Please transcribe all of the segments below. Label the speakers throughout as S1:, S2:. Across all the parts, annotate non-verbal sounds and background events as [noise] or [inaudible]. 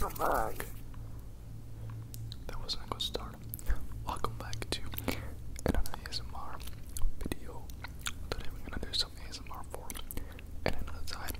S1: Welcome back. That was a good start. Welcome back to another ASMR video. Today we're gonna do some ASMR for another time.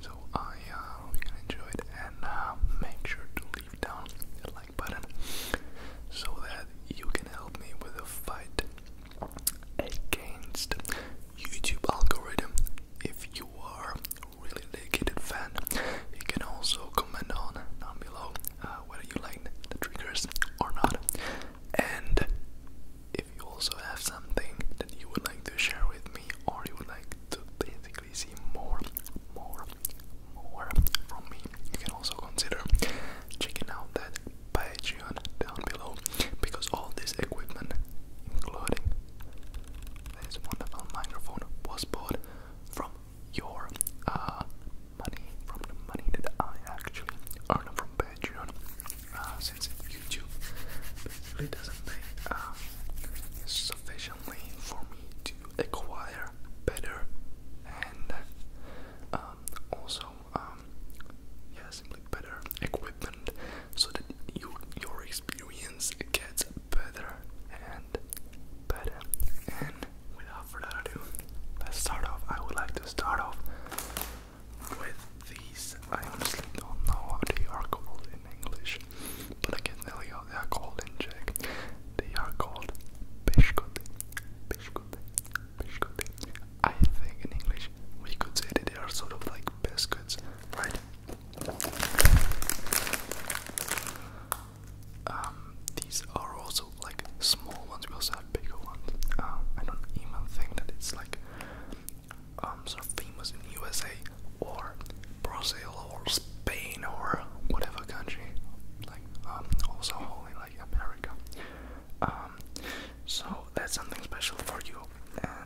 S1: So I uh, hope you can enjoy it and uh, make sure to leave down the like button so that you can help me with a fight against YouTube algorithm. If you are really dedicated fan, you can also comment on down below uh, whether you like the triggers or not. And if you also have something that you would like to share with me, or you would like to basically see more, more, more from me, you can also consider checking out that Patreon down below because all this equipment, including this wonderful microphone, was bought from your uh, money, from the money that I actually earn from Patreon. Uh, since YouTube basically doesn't pay uh, sufficiently for me to acquire better and uh, um, also now, um, better equipment so that you, your experience gets better and better. And without further ado, let's start off. I would like to start off with these. I honestly don't know how they are called in English, but I can tell you they are called in Czech. They are called Peshkoty, Peshkoty, Peshkoty. I think in English we could say that they are sort of like biscuits, right? Um, these are also like small ones. We also have bigger ones. Uh, I don't even think that it's like um sort famous in USA or Brazil or Spain or whatever country, like um also only like America. Um, so that's something special for you. And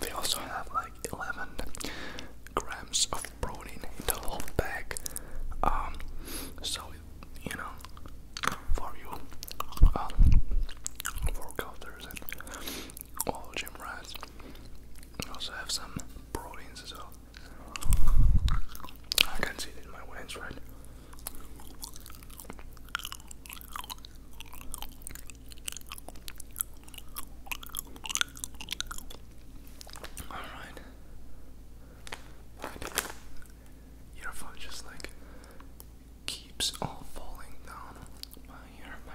S1: They also have like 11 grams of protein in the whole bag. Um, so, you know, for you um, workouters and all gym rats, we also have some proteins as well. I can see it in my wings, right? All right. Good. Your phone just like keeps all falling down my ear, my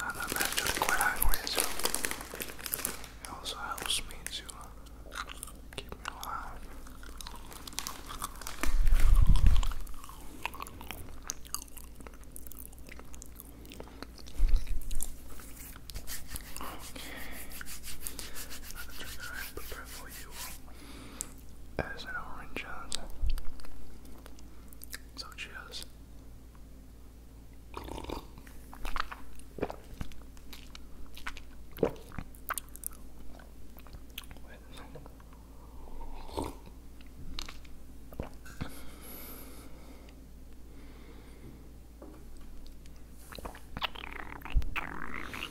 S1: I'm actually quite hungry, so it also helps me to keep me alive. Okay, another trigger I prepared for you as an orange Johnson. So cheers.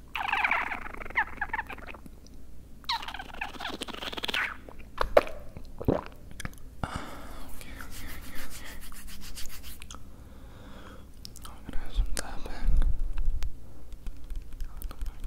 S1: okay, okay, okay, okay. I'm gonna have some tapping on the microphone. Okay.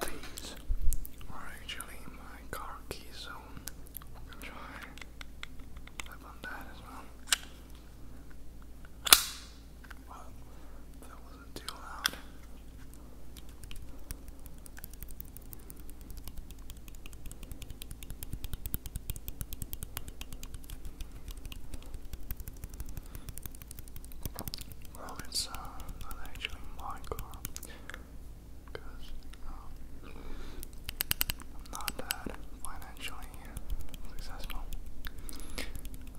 S1: These are actually my car keys, so we can try flip on that as well. Well, that wasn't too loud. Well, it's uh, not actually my car because um, I'm not that financially successful.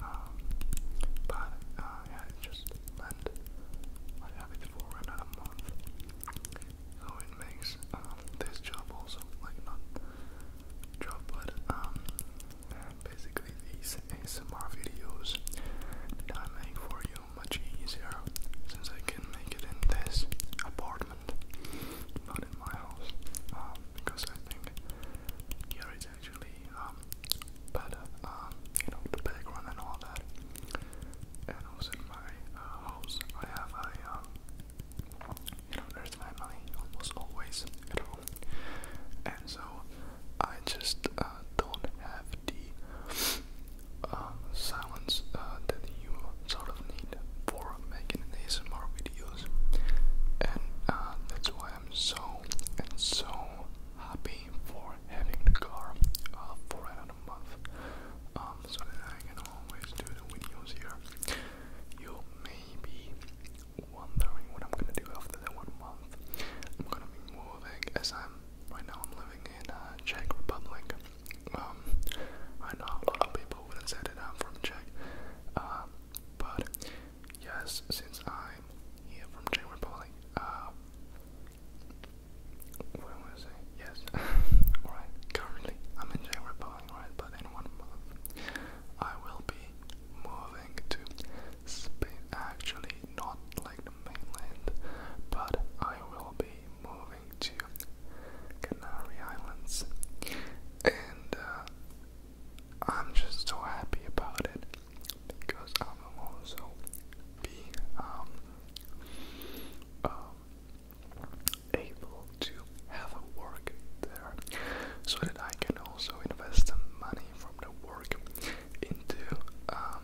S1: Um, but uh, yeah, it just lent. I have it for another month, so it makes um, this job also like not job, but basically these ASMR videos that I make for you much easier since I can make it in this apartment, not in my house, um, because I think here it's actually um, better, um, you know, the background and all that. And also in my uh, house, I have a, um, you know, there's family almost always at home, and so I just uh, don't have the um, silence uh, that you sort of need for making ASMR videos, and uh, that's why I'm so and so happy for having the car for another month, um, so that I can always do the videos here. You may be wondering what I'm gonna do after that one month. I'm gonna be moving as I'm right now I'm living in uh, Czech Republic. Um, I know a lot of people wouldn't say that I'm from Czech, um, but yes, since I'm here from Czech Republic, uh, what am I gonna say? Yes, [laughs] alright, currently I'm in Czech Republic, right, but in one month I will be moving to Spain, actually not like mainland, but I will be moving to Canary Islands, and uh, I'm just so happy about it because I will also be um, um, able to have a work there so that I can also invest some money from the work into um,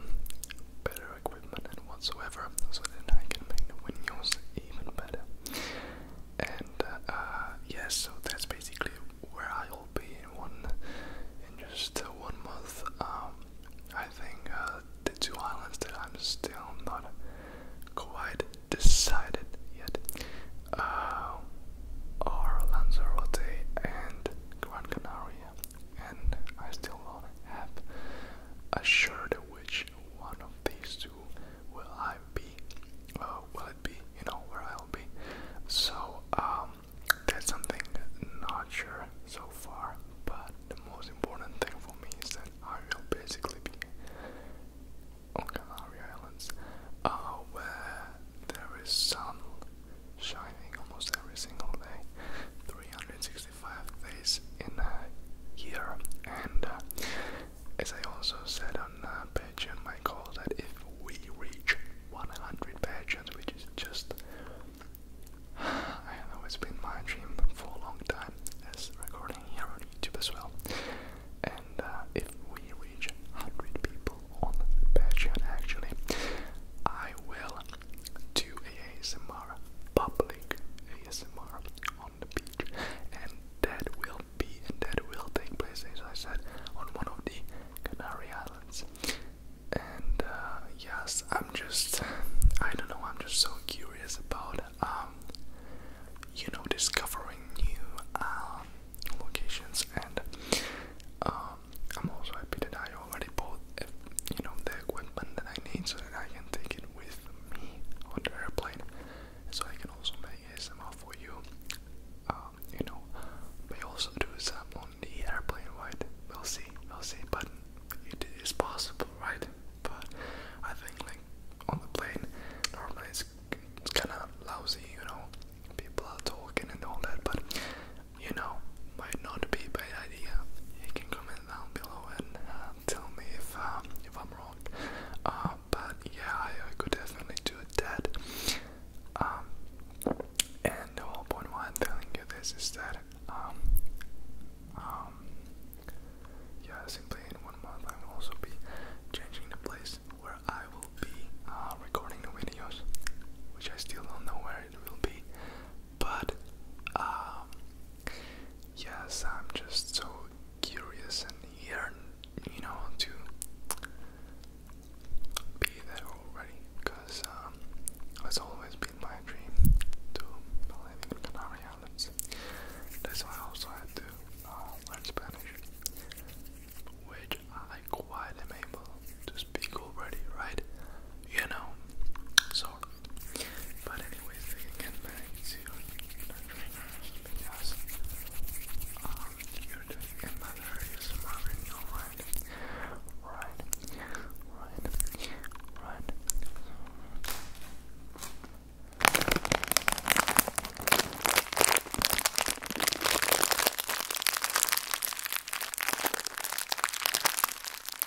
S1: better equipment and whatsoever, so then I can make the windows even better. And uh, uh, yes, so that's basically where I'll be in one in just uh, one month. Um, I think uh, the two islands that I'm still not quite decided yet uh, are Lanzarote and Gran Canaria and I still don't have assured which one of these two will I be, uh, will it be, you know, where I'll be. So um, that's something not sure so far, but the most important thing for me is that I will basically be on Canary Islands, uh, where there is sun shining almost every single day, 365 days in a year. And uh, as I also said on uh, Patreon, my goal that if we reach 100 Patreons, which is just I have always been my dream for a long time, as recording here on YouTube as well. And uh, if we reach 100 people on Patreon, actually, I will to ASMR, public ASMR on the beach, and that will be and that will take place, as I said, on one of the Canary Islands. And uh, yes, I'm just, I don't know, I'm just so curious about, um, you know, discovering new um, locations and um, I'm also happy that I already bought, eh, you know, the equipment that I need so that I can take it with me on the airplane, so I can also make ASMR for you. Um, you know, we also do some on the airplane, right? We'll see, we'll see. But it is possible, right? But I think like on the plane, normally it's, it's kind of lousy, you know. People are talking and all that, but you know, might not be a bad idea. You can comment down below and uh, tell me if um, if I'm wrong. Uh, but yeah, I, could definitely do that. Um, and the whole point why I'm telling you this is that um, um, yeah, simply in one month I will also be changing the place where I will be uh, recording the videos, which I still don't know where it will be. But um, yes, I'm just so curious and yearn, you know, to be there already. Because um, it's always been my dream to live in Canary Islands. That's why I also had to uh, learn Spanish, which I quite am able to speak already, right? You know, so soft. But anyways, we can get back to your because um, you're doing another ASMR video, Right, right, right.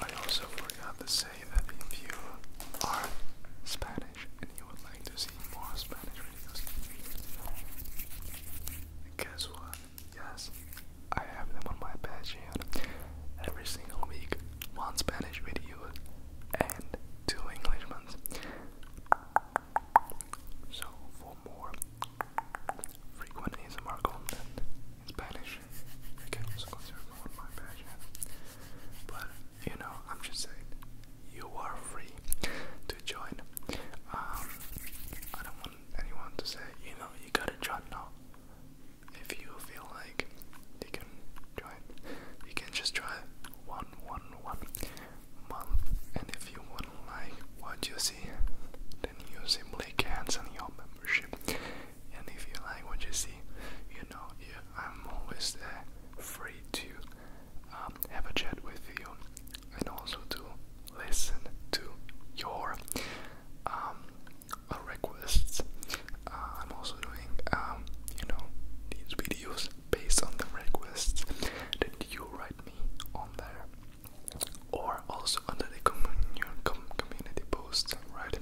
S1: I also forgot to say that if you are Spanish and you would like to see more Spanish videos, guess what? Yes, I have them on my Patreon. Every single week, one Spanish video and two English ones. So for more frequent ASMR in Spanish, I can also consider one my patch. But you know, I'm just saying, you are free to join. Um, I don't want anyone to say, you know, you gotta join now. If you feel like you can join, you can just try one, one, one month. And if you wouldn't like what you see, then you simply cancel your membership. And if you like what you see, you know yeah, I'm always there, free to um, have a chat with you and also to listen to your um, uh, requests. Uh, I'm also doing, um, you know, these videos based on the requests that you write me on there, or also under the community post, right?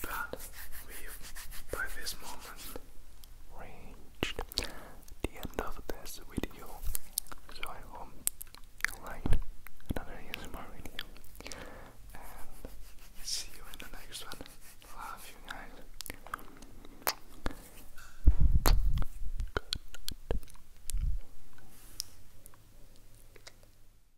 S1: but we by this moment reached the end of this video. So I hope you liked another ASMR video and see you in the next one. Love you guys. Good